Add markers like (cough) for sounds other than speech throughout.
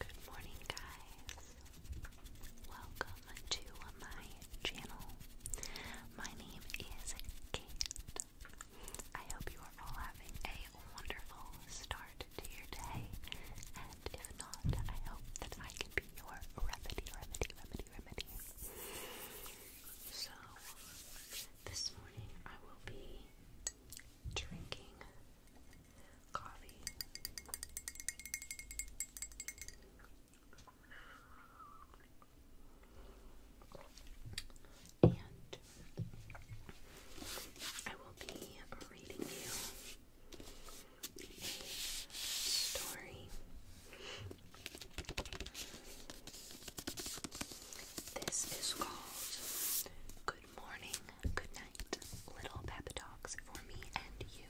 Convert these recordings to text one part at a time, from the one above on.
Good morning, guys. Welcome to my channel. My name is Kate. I hope you are all having a wonderful start to your day, and if not, I hope that I can be your remedy, remedy, remedy, remedy. So, this morning I will be drinking and I will be reading you a story. This is called Good good morning, good night, little pep talks for me and you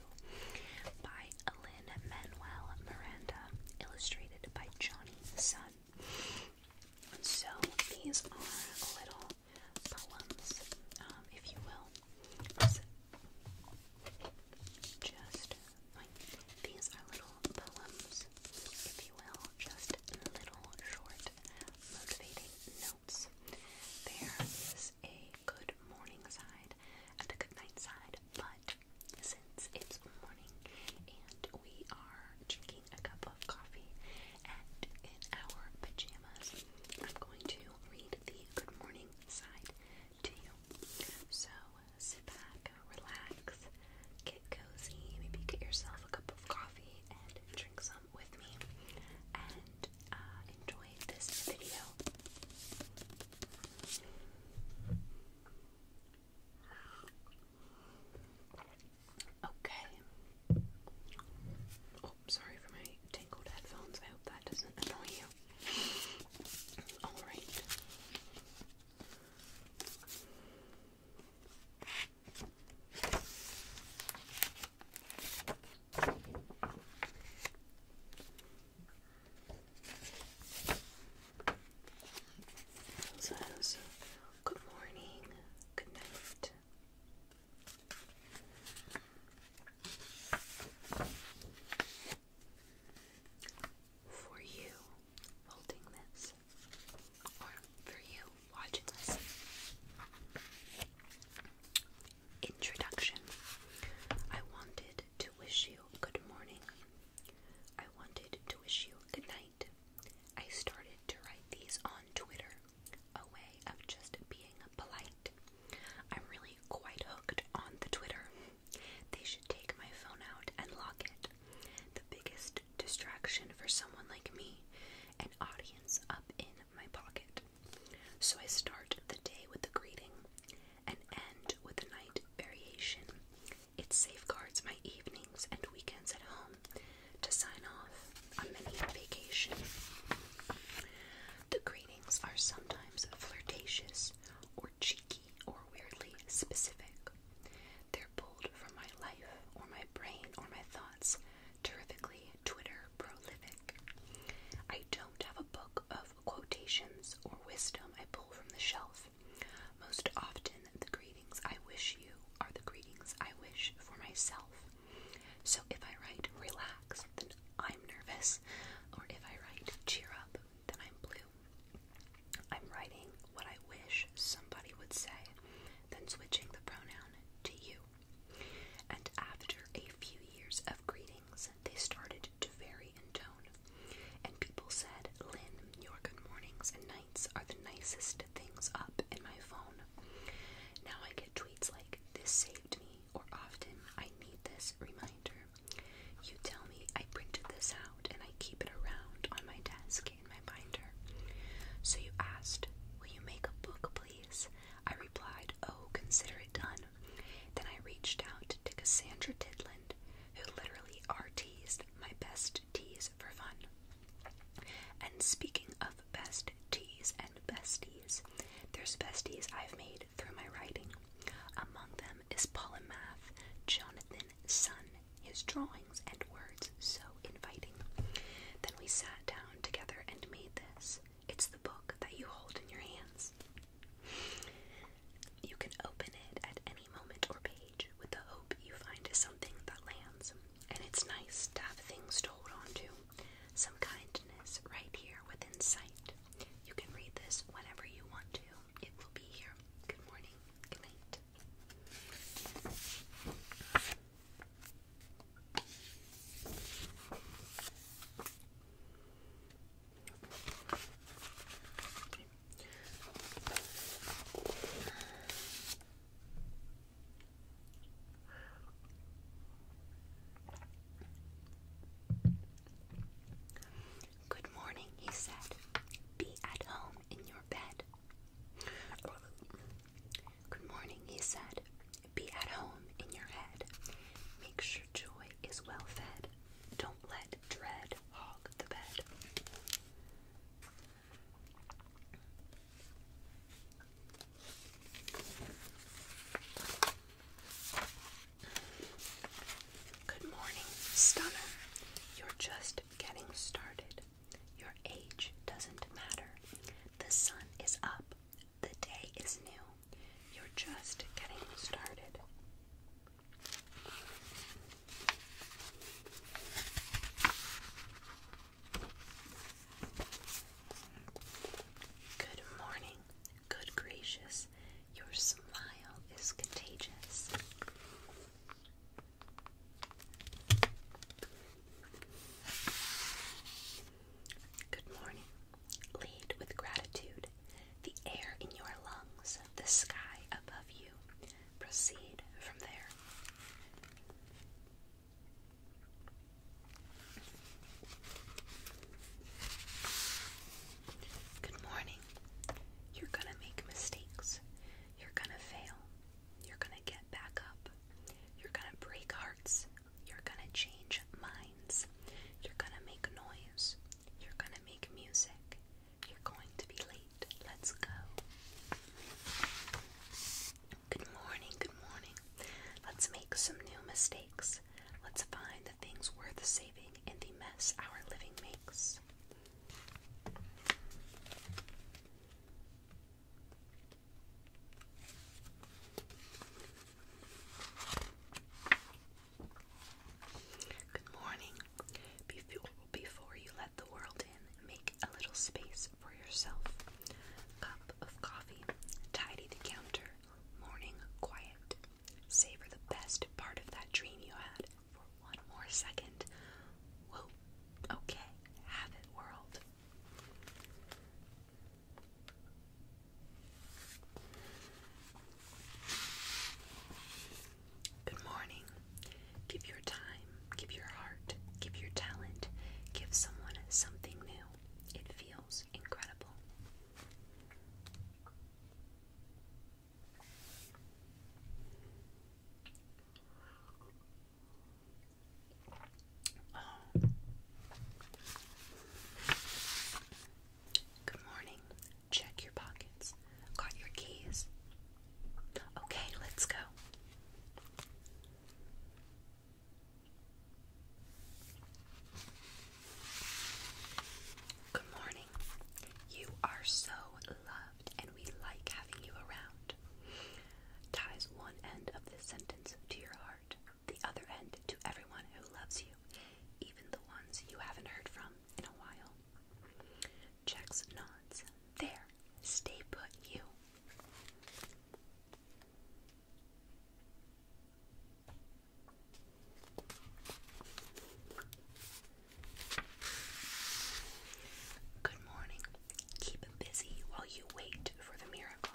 by Lynn Manuel Miranda, illustrated by Johnny Sun. So these are little poems, um, if you will. just these are little poems, if you will, just little short motivating there is a good morning side and a good night side, but since it's morning and we are drinking a cup of coffee and in our pajamas, I'm going to read the good morning side to you. So sit back, relax, get cozy, maybe get yourself a cup of coffee, and with me and uh, enjoy this video. Okay. Oh, sorry for my tangled headphones. I hope that doesn't annoy you. Alright says, Good morning, good night. For you holding this, or for you watching this. Introduction I wanted to wish you good morning. I wanted to wish you good night. I started to write these on Twitter, a way of just being polite. I'm really quite hooked on the Twitter. They should take my phone out and lock it. The biggest distraction for someone like me an audience up in my pocket. So I start the day with a greeting and end with a night variation. It safeguards my evenings and weekends at home to sign off on mini vacation. The greetings are sometimes flirtatious or cheeky or weirdly specific. They're pulled from my life or my brain or my thoughts terrifically Twitter prolific. I don't have a book of quotations or wisdom I pull from the shelf. Most often, the greetings I wish you are the greetings I wish for myself. So if I write relax, then I'm nervous, or if I write cheer up, then I'm blue. I'm writing what I wish somebody would say, then switching the pronoun to you. And after a few years of greetings, they started to vary in tone. And people said, Lynn, your good mornings and nights are the nicest things up in my phone. Now I get tweets like, this saved me, or often, I need this reminder. You tell me I printed this out and I keep it around on my desk in my binder. So you asked, will you make a book, please? I replied, Oh, consider it done. Then I reached out to Cassandra Tidland, who literally art-teased my best teas for fun. And speaking of best teas and besties, there's besties I've made through my writing. Among them is Paul and Math, Jonathan son. His drawings and words so inviting. Then we sat down together and made this. It's the book that you hold in your hands. You can open it at any moment or page with the hope you find something that lands. And it's nice to have things to hold on to. Some kindness right here within sight. You can read this whenever you want to. It will be here. Good morning. Good night. Good morning, he said. Be at home in your bed. Good morning, he said. Be at home in your head. Make sure joy is well fed. Don't let dread hog the bed. Good morning, stunner. You're just getting started. Your age doesn't matter. The sun is up. The day is new. You're just getting started. Good morning, good gracious. Your smile is contagious. Good morning. Lead with gratitude. The air in your lungs, the sky above you. Proceed from there. Good morning. You're gonna make mistakes. You're gonna fail. You're gonna get back up. You're gonna break hearts. You're gonna change minds. You're gonna make noise. You're gonna make music. You're going to be late. Let's go. Good morning, good morning. Let's make some new mistakes. Let's find the things worth saving in the mess our living makes. Good morning. Before, before you let the world in, make a little space for yourself. Cup of coffee, tidy the counter, morning quiet. Savor the best part of that dream you had for one more second. Whoa, okay, have it, world. Good morning. Give your time, give your heart, give your talent, give someone something new. It feels incredible. Good morning. Check your pockets. Got your keys. Okay, let's go. Good morning. You are so loved and we like having you around. Ties one end of this sentence to your heart, the other end to everyone who loves you, even the ones you haven't heard from in a while. Checks nods. There, stay put, you. Good morning busy while you wait for the miracle.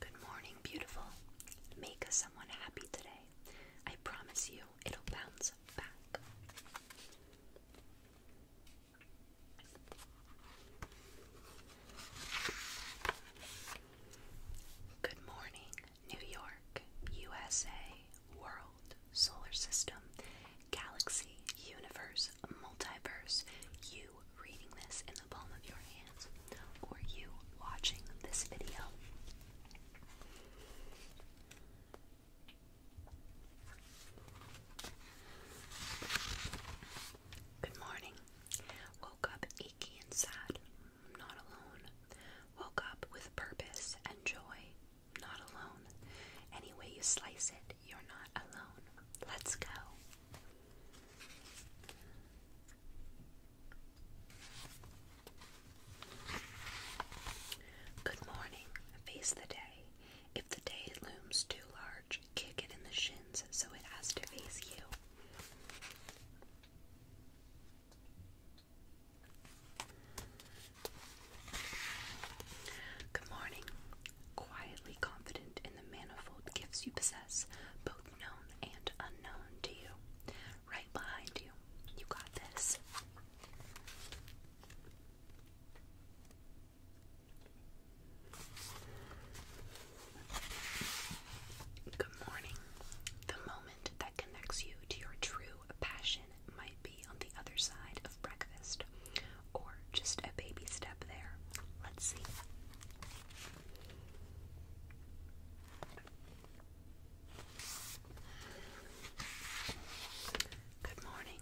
Good morning, beautiful. Make someone happy today. I promise you it'll bounce back. Good morning, New York, USA, World, Solar System, Galaxy, Universe, Multiverse, you reading this in the palm of your hands, or you watching this video. Good morning. Woke up achy and sad not alone. Woke up with purpose and joy, not alone. Any way you slice it, you're not alone. Let's go. Good morning. Face the day. If the day looms too large, kick it in the shins so it has to face you. Good morning. Quietly confident in the manifold gifts you possess, both known and unknown to you. Right behind you. You got this. Good morning. The moment that connects you to your true passion might be on the other side of breakfast, or just a baby step there. Let's see. Good morning.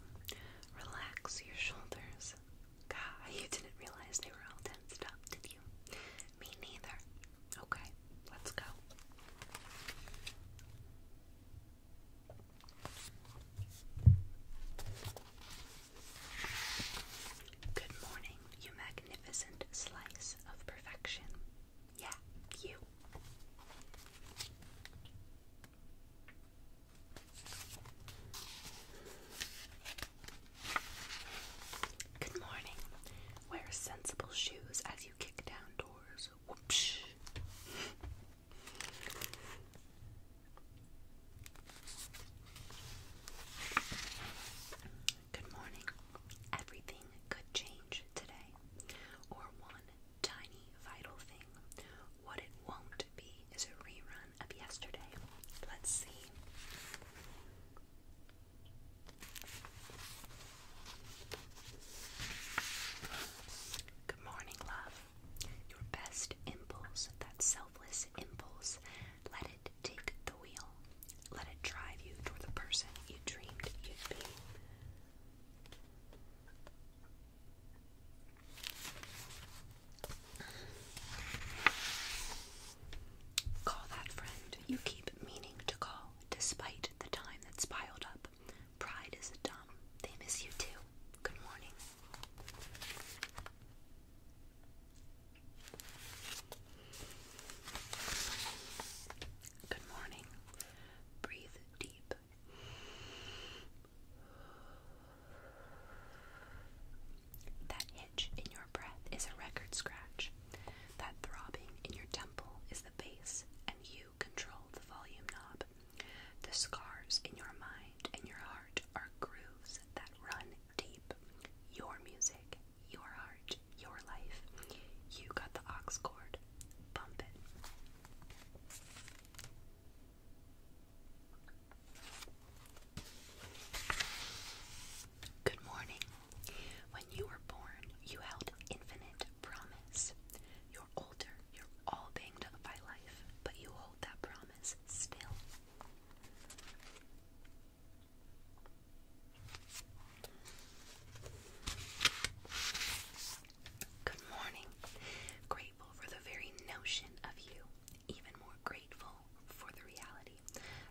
Relax your shoulders. God, (laughs) you didn't realize they were all tensed up, did you? Me neither. Okay, let's go. Good morning, you magnificent slice of perfection. Yeah, you. Good morning, Wear sensible shoes as you kick down doors. Whoops. Good morning. Everything could change today, or one tiny vital thing. What it won't be is a rerun of yesterday. Let's see. Good morning, love. Your best impulse, that selfless impulse, let it take the wheel. Let it drive you toward the person you dreamed you'd be. Call that friend you keep meaning to call despite the time that's piled up. Pride is dumb. They miss you too. Good morning. Good morning. Breathe deep. That hitch in your breath is a record scratch. That throbbing in your temple is the bass, and you control the volume knob. The scars in your mind and your heart are grooves that run deep. Your music, your heart, your life. You got the ox cord. Bump it. Good morning. When you were born, you held infinite promise. You're older, you're all banged up by life, but you hold that promise still. Good morning. Grateful for the very notion of you, even more grateful for the reality.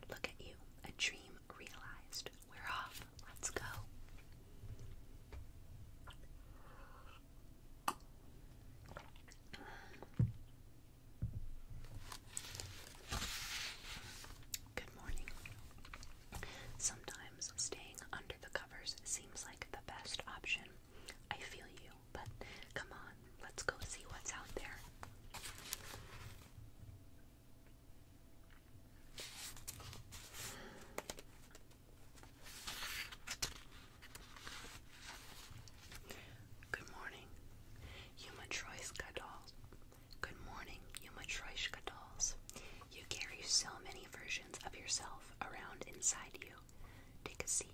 Look at you, a dream realized. We're off. Let's go. Good morning. Sometimes staying under the covers seems like the best option. I feel you, but come on, let's go see what's out there. Good morning, Yumatroyska dolls. Good morning, Yumatroyska dolls. You carry so many versions of yourself around inside you. Take a seat,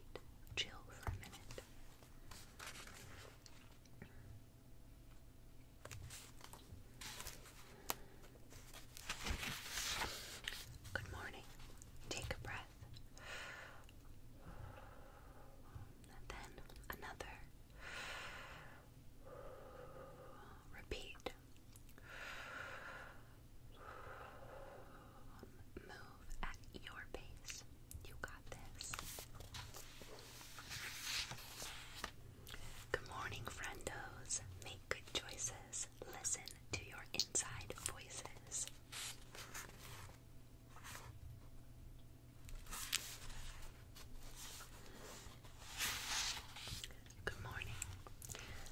chill for a minute. Good morning. Take a breath. And then another. Repeat. Move at your pace. You got this. Good morning, friendos. Make good choices. Listen to your inside voices. Good morning.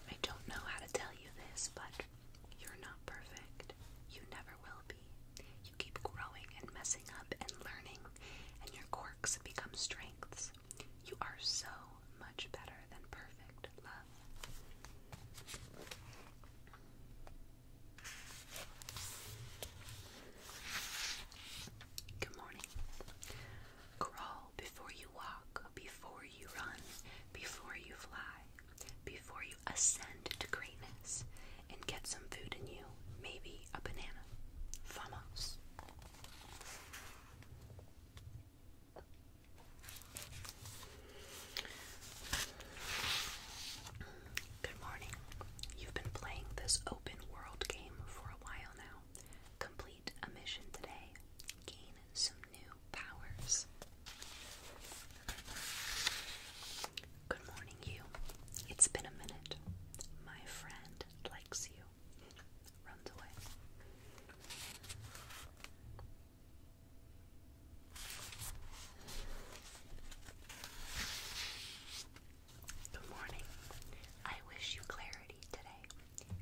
I don't know how to tell you this, but you're not perfect. You never will you keep growing and messing up and learning, and your quirks become strengths. You are so much better than perfect love. Good morning. Crawl before you walk, before you run, before you fly, before you ascend to greatness, and get some food in you. Maybe a banana. Vamos. Good morning. You've been playing this open world game for a while now. Complete a mission today. Gain some new powers. Good morning, you. It's been a minute. My friend likes you. Runs away. Good morning. I wish you clarity today.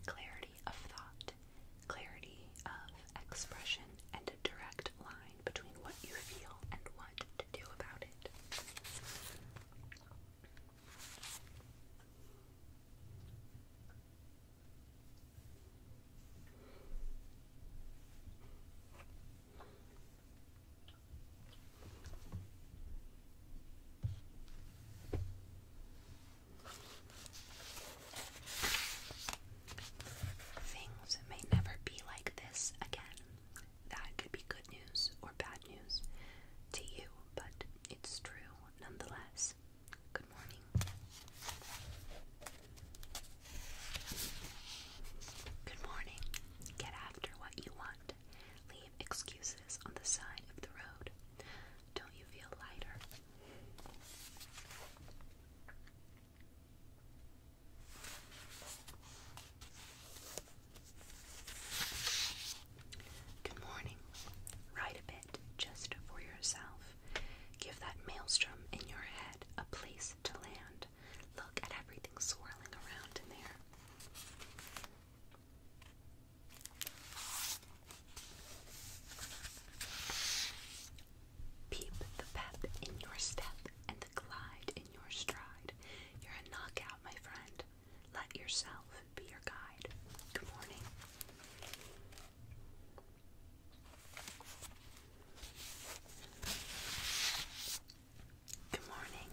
Clarity of thought, clarity of expression, and a direct line between what you feel and Things may never be like this again. That could be good news or bad news to you, but it's true nonetheless. Good morning. Good morning. Get after what you want. Leave excuses on the side of the road. Don't you feel lighter? Good morning. Write a bit just for yourself. Give that maelstrom in your head a place to land. Look at everything swirling around in there. Peep the pep in your step and the glide in your stride. You're a knockout, my friend. Let yourself be your guide. Good morning. Good morning.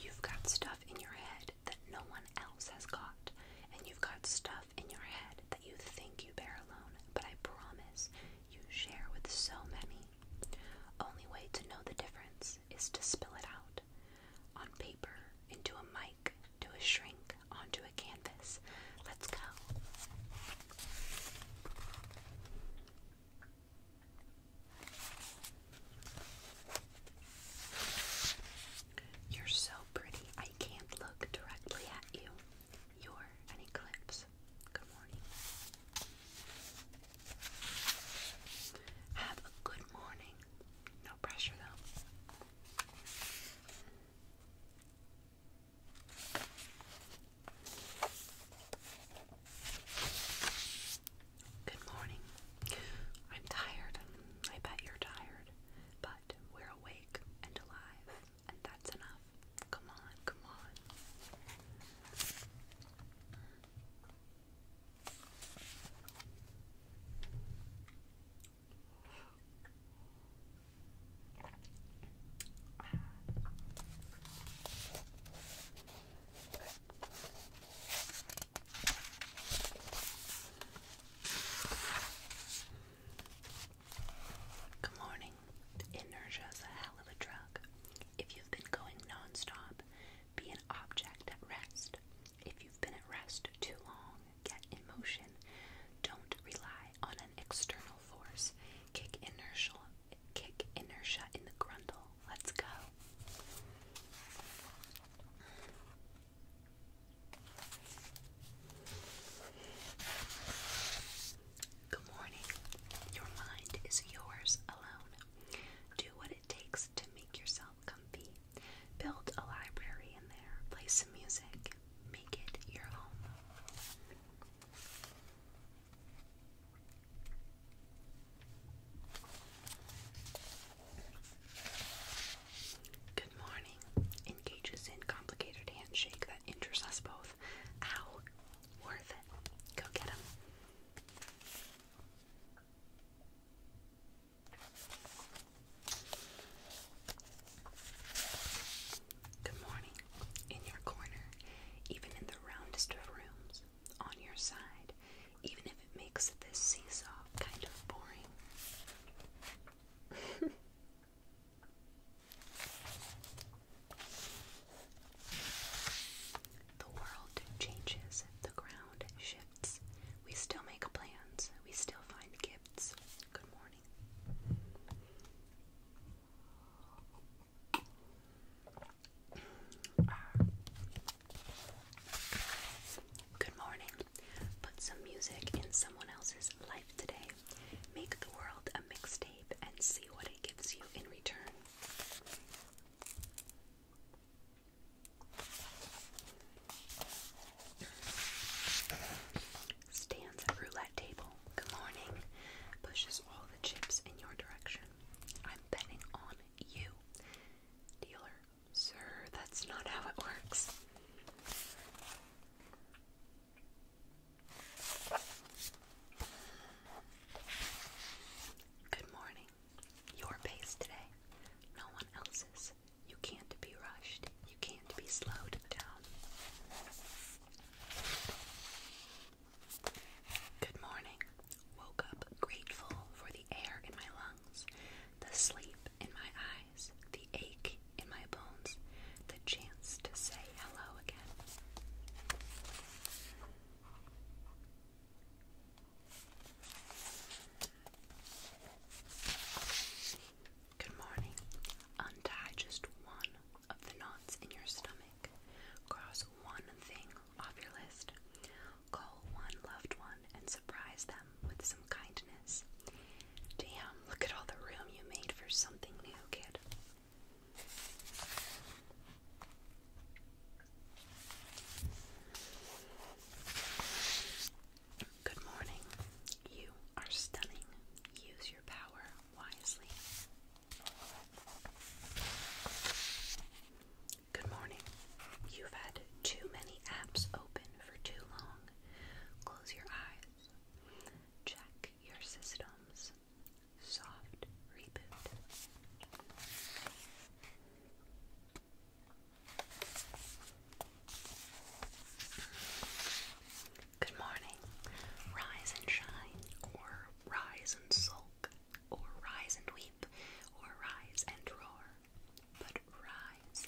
You've got stuff in your head that no one else has got, and you've got stuff in your head that you think you bear alone, but I promise you share with so many only way to know the difference is to spill it out on paper, into a mic, to a shrink, onto a canvas. Let's go. You're so pretty, I can't look directly at you. You're an eclipse Good morning. Have a good morning. No pressure though. Good morning. I'm tired. I bet you're tired, but we're awake and alive, and that's enough. Come on, come on. Good morning. Inertia is a hell of a drug. If you been going nonstop, be an object at rest. If you've been at rest too long, get in motion. Don't rely on an external force. Kick inertia, kick inertia in the grundle. Let's go. Good morning. Your mind is yours alone. Do what it takes to make yourself comfy. Build a library in there. Play some music. Make it your home. Good morning. Engages in complicated handshake that injures us both stuff. worth it. Go get him. Good morning. In your corner, even in the roundest of rooms, on your side, even if it makes this seesaw kind of boring. (laughs) The world changes, the ground shifts. We still make plans, we still find gifts. Good morning. Good morning. Put some music in someone else's life today. Make the world a mixtape and see what it gives you in return. Stands at roulette table, good morning, pushes all the chips in your direction. I'm betting on you. Dealer, sir, that's not how it works. Good morning. Your pace today. No one else's. You can't be rushed. You can't be slowed down. Good morning. Woke up grateful for the air in my lungs, the sleep in my eyes, the ache in my bones, the chance to say hello again. Good morning. Untie just one of the knots in your stomach. Cross one thing off your list. Call one loved one and surprise them with some kindness. Damn, look at all the room you made for something new, kid. Good morning. You are stunning. Use your power wisely. Good morning. You've had too many apps open for too long. Close your eyes. Check your systems. Soft Reboot. Good morning. Rise and shine, or rise and sulk, or rise and weep, or rise and roar, but rise.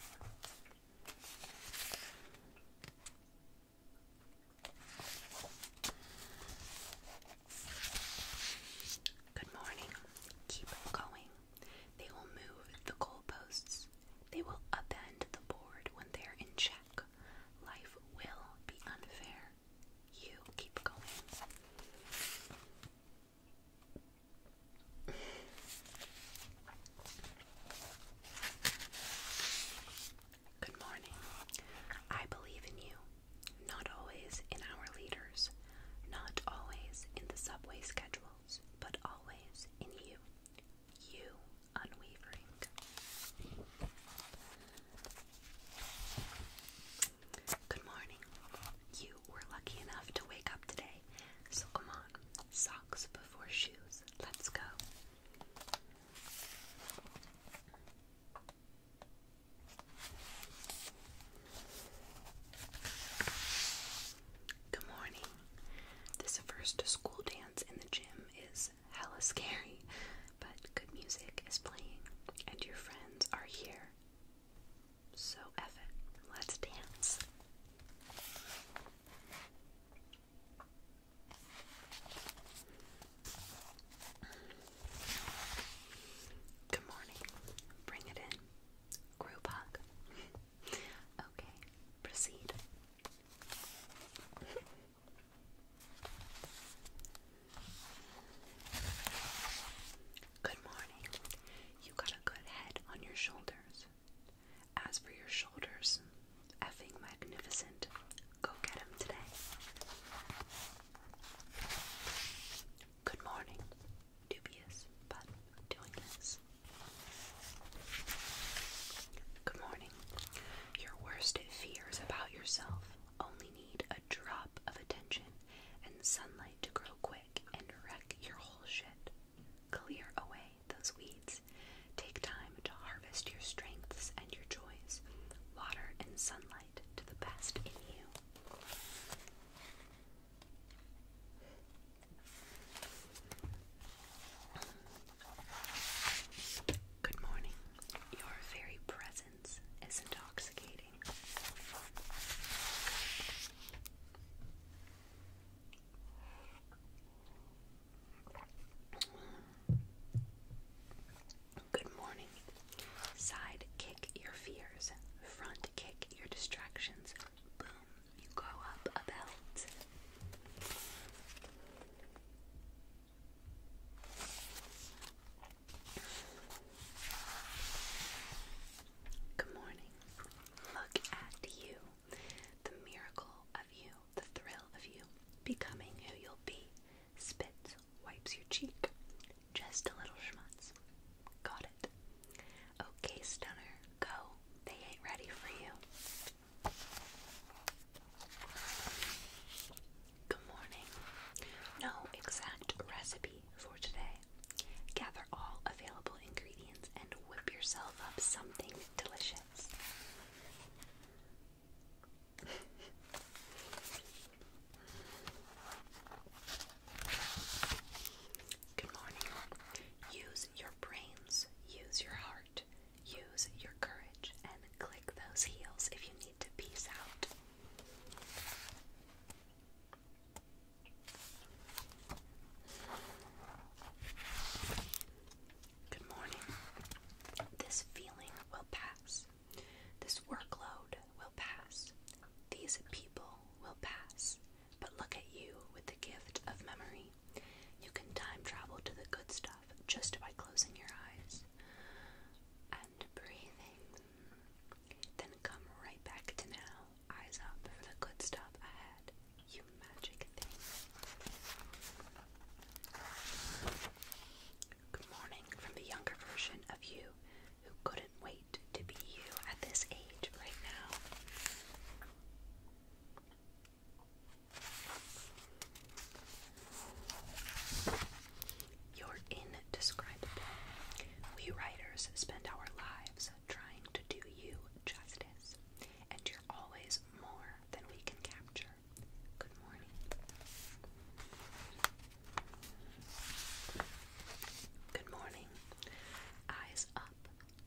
Good morning. Keep going. They will move the goalposts. They will upend the board when they're in check. Life will be unfair. You keep going. Good morning. I believe in you, not always in our leaders, not always in the subway schedules, but always in you. You unwavering. Good morning. You were lucky enough to wake up today, so come on, socks before shoes. Let's go. Good morning. This first school dance in the gym is hella scary, but good music is playing and your friends are here. So, Eff it, let's dance. Good morning. Bring it in. Group okay, proceed. Good morning. You got a good head on your shoulders. As for your shoulders, effing magnificent go get him today. Good morning. Dubious, but doing this. Good morning. Your worst fears about yourself only need a drop of attention and sunlight to grow quick and wreck your whole shit. Clear away those weeds. Take time to harvest your strengths and your joys, water and sunlight to the best in you. Good morning. Your very presence is intoxicating. Good morning. Side kick your fears. Front kick your distractions. Boom, you go up a belt. Good morning. Look at you, the miracle of you the thrill of you becoming who you'll be. Spits, wipes your cheek. Just a little schmutz. Got it. Okay, stunner, go. They ain't ready for you. Good morning. No exact recipe for today. Gather all available ingredients and whip yourself up something delicious. Good morning. Use your brains, use your heart, use your courage, and click those heels if you need to peace out. Good morning. This feeling will pass. This workload will pass. These people will pass. But look at you with the gift of memory. You can time travel to the good stuff just by closing your eyes and breathing. Then come right back to now, eyes up for the good stuff ahead. You magic thing. Good morning from the younger version of you who couldn't wait to be you at this age right now. You're indescribable. We writers spend our lives trying to do you justice, and you're always more than we can capture. Good morning. Good morning. Eyes up,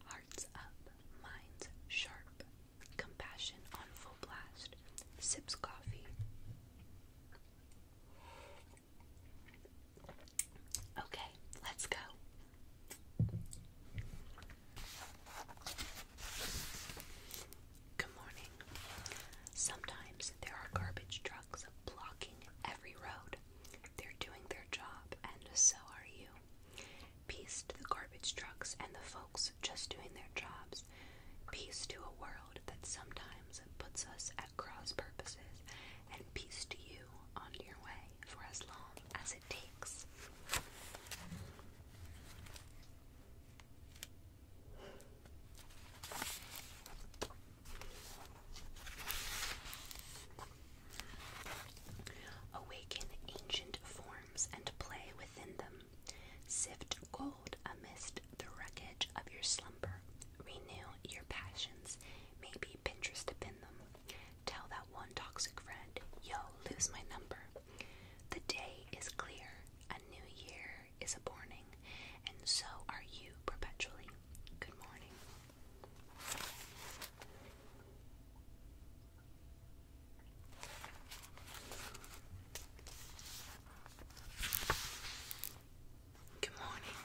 hearts up, minds sharp, compassion on full blast, sips coffee. Okay, let's go. Good morning. Sometimes there are garbage trucks blocking every road. They're doing their job, and so are you. Peace to the garbage trucks and the folks just doing their jobs. Peace to a world that sometimes puts us at cross purposes, and peace to you on your way for as long as it takes. Awaken ancient forms and play within them. Sift gold amidst the wreckage of your slumber. Renew your passions. Maybe Pinterest to pin them. Tell that one toxic friend, yo, lose my number. The day is clear, a new year is a morning, and so are you perpetually. Good morning. Good morning.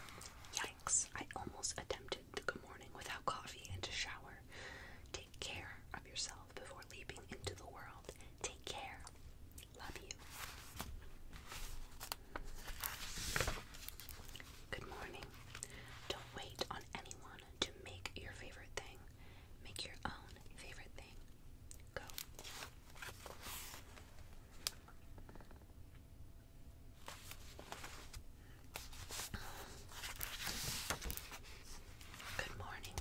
Yikes, I almost attempted the good morning without coffee and a shower. Take care of yourself before leaping into the world. Take care. Love you. Good morning. Don't wait on anyone to make your favorite thing. Make your own favorite thing. Go. Good morning.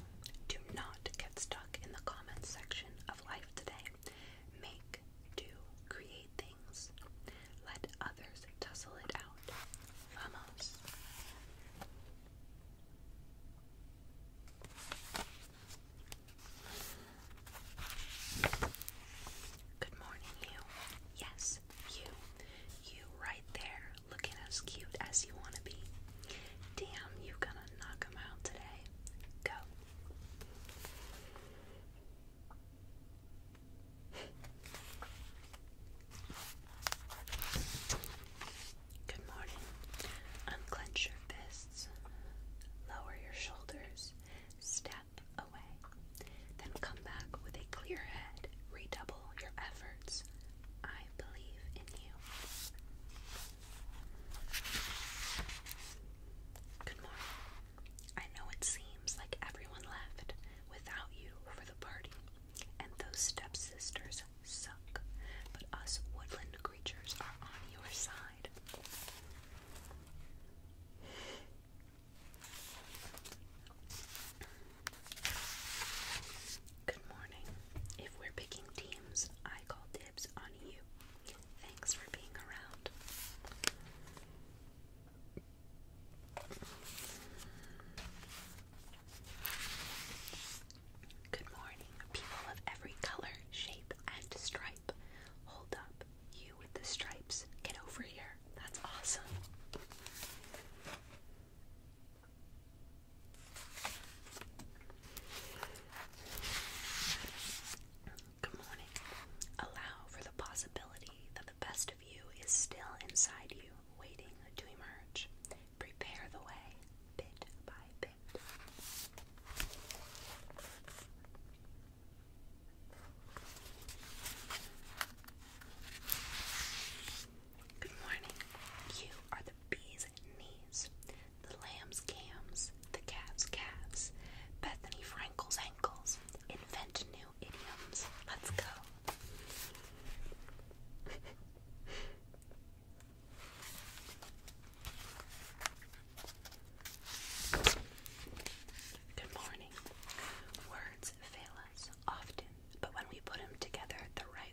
Do not get stuck in the comments section of life today. Make, do, create things. Let others tussle it out. Vamos. Good morning, you. Yes, you. You right there looking as cute as you want to be. Damn, you gonna knock out today. Go. Good morning. Unclench your fists. Lower your shoulders. Step away. Then come back with a clear head. Redouble your efforts. I believe in you. Good morning. I know it seems like everyone left without you for the party, and those step sisters suck, but us woodland creatures are on your side. Good morning. If we're picking teams, I call dibs on you. Thanks for being around. Good morning, people of every color, shape, and stripe. Hold up, you with the stripes. Get over here. That's awesome. Good morning. Allow for the possibility that the best of you is still inside you, waiting to emerge. Prepare the way, bit by bit. Good morning. You are the bee's knees, the lamb's cams, the calf's calves, Bethany Frankel's ankles. Invent new idioms. Let's go. Good morning. Words fail us often, but when we put them together the right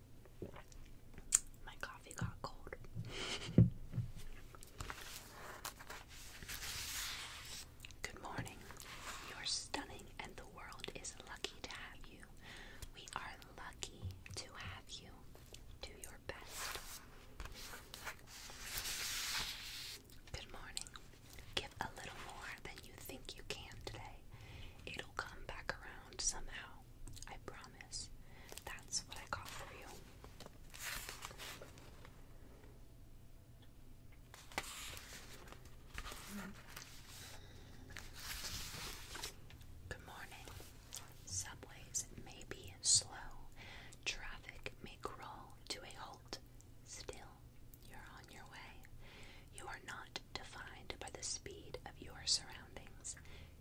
My coffee got cold. Good morning. You are stunning, and the world is lucky to have you. We are lucky to have you. Do your best. Good morning. Give a little more than you think you can today. It'll come back around somehow. I promise. That's what I got for you. Good morning. Subways may be slow. Traffic may crawl to a halt. Still, you're on your way. You are not defined by the speed of your surroundings.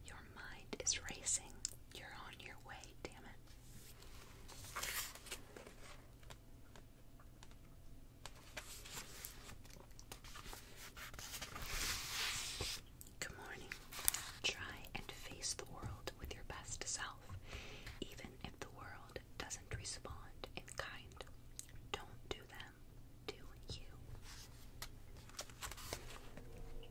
Your mind is racing. You're on your way, damn it. Good morning. Try and face the world with your best self, even if the world doesn't respond in kind. Don't do them, do you.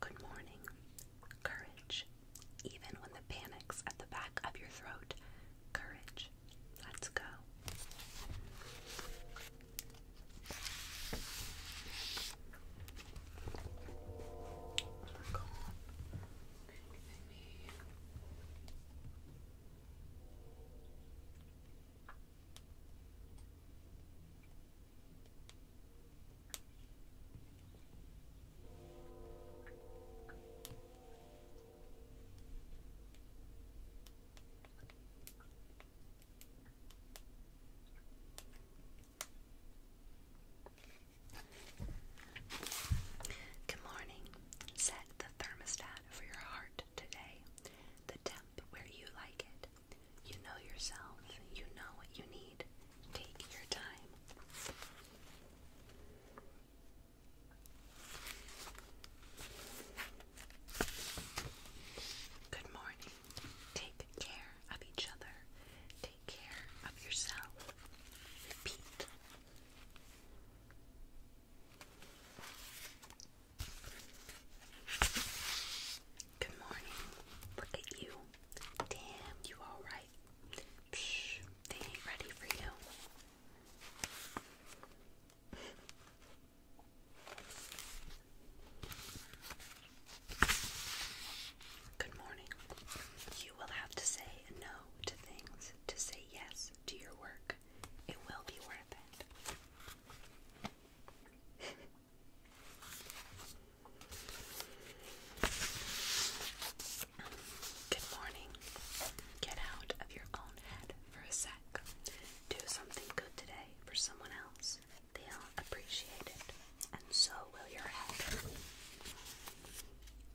Good morning. Courage. Even when the panic's at the back of your throat, courage. Let's go. Good morning. Set the thermostat for your heart today. The where you like it. You know yourself, you know what you need. Take your time. Good morning. Take care of each other. Take care of yourself. Repeat. Good morning. Look at you. Damn, you alright? they ain't ready for you. Good morning. You will have to say no to things to say yes to your work. It will be worth it. Good morning. Get out of your own head for a sec. Do something good today for someone else. They'll appreciate it, and so will your head.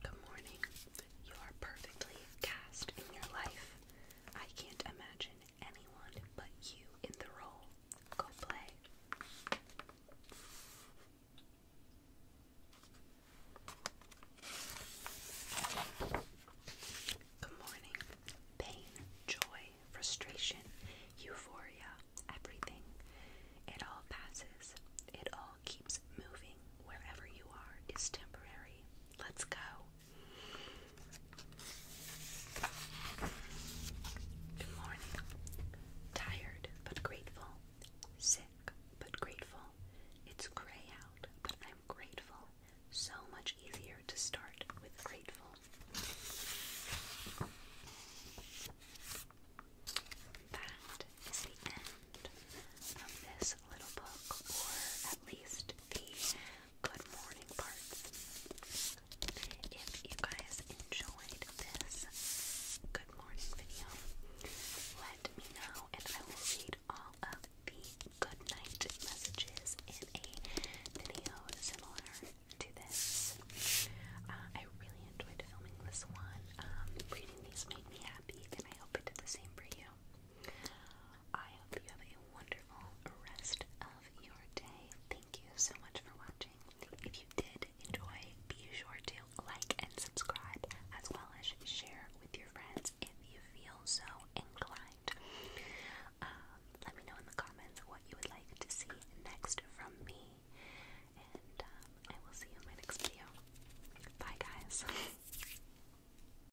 Good morning. You are perfectly cast in your life. I can't imagine anyone but you in the role. Go play. Good morning. Pain, joy, frustration, euphoria, everything. It all passes. It all keeps moving. Wherever you are is temporary. Let's go. Good morning. Tired but grateful. Sick but grateful. It's gray out, but I'm grateful. So much easier to start with grateful. That is the end of this little book, or at least the good morning parts. If you guys enjoyed this good morning video, let me know and I will read all of the good night messages in a video similar to this. Uh, I really enjoyed filming this one. Um, reading these made me happy and I hope it did the same for you. I hope you have a wonderful rest of your day. Thank you so much for watching. If you did enjoy, be sure to like and subscribe, as well as share with your friends if you feel so inclined. Um, let me know in the comments what you would like to see next from me, and um, I will see you in my next video. Bye, guys. (laughs)